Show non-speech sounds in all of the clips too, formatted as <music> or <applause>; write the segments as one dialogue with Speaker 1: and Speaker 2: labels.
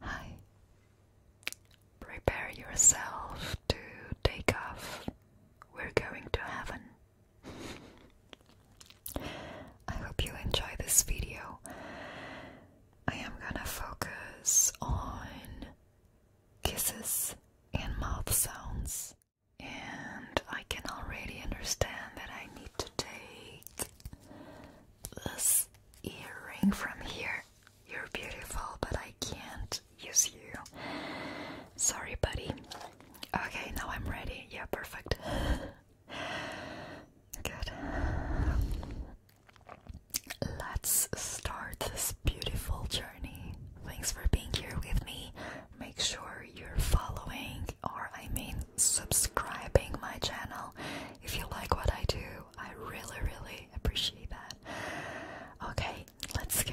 Speaker 1: Hi. Prepare yourself to take off. We're going to heaven. I hope you enjoy this video. I am gonna focus on kisses and mouth sounds, and I can already understand that I need to take this earring from here. You're beautiful, but I can't use you. Sorry, buddy. Okay, now I'm ready. Yeah, perfect. <laughs> Good. Let's start this beautiful journey. Thanks for being here with me. Make sure you're following, or I mean, subscribing my channel if you like what I do, I really, really appreciate that. Okay, let's go.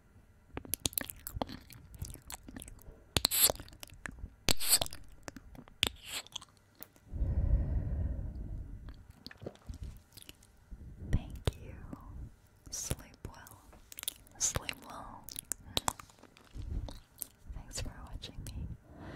Speaker 1: Thank you. Sleep well. Sleep well. Thanks for watching me.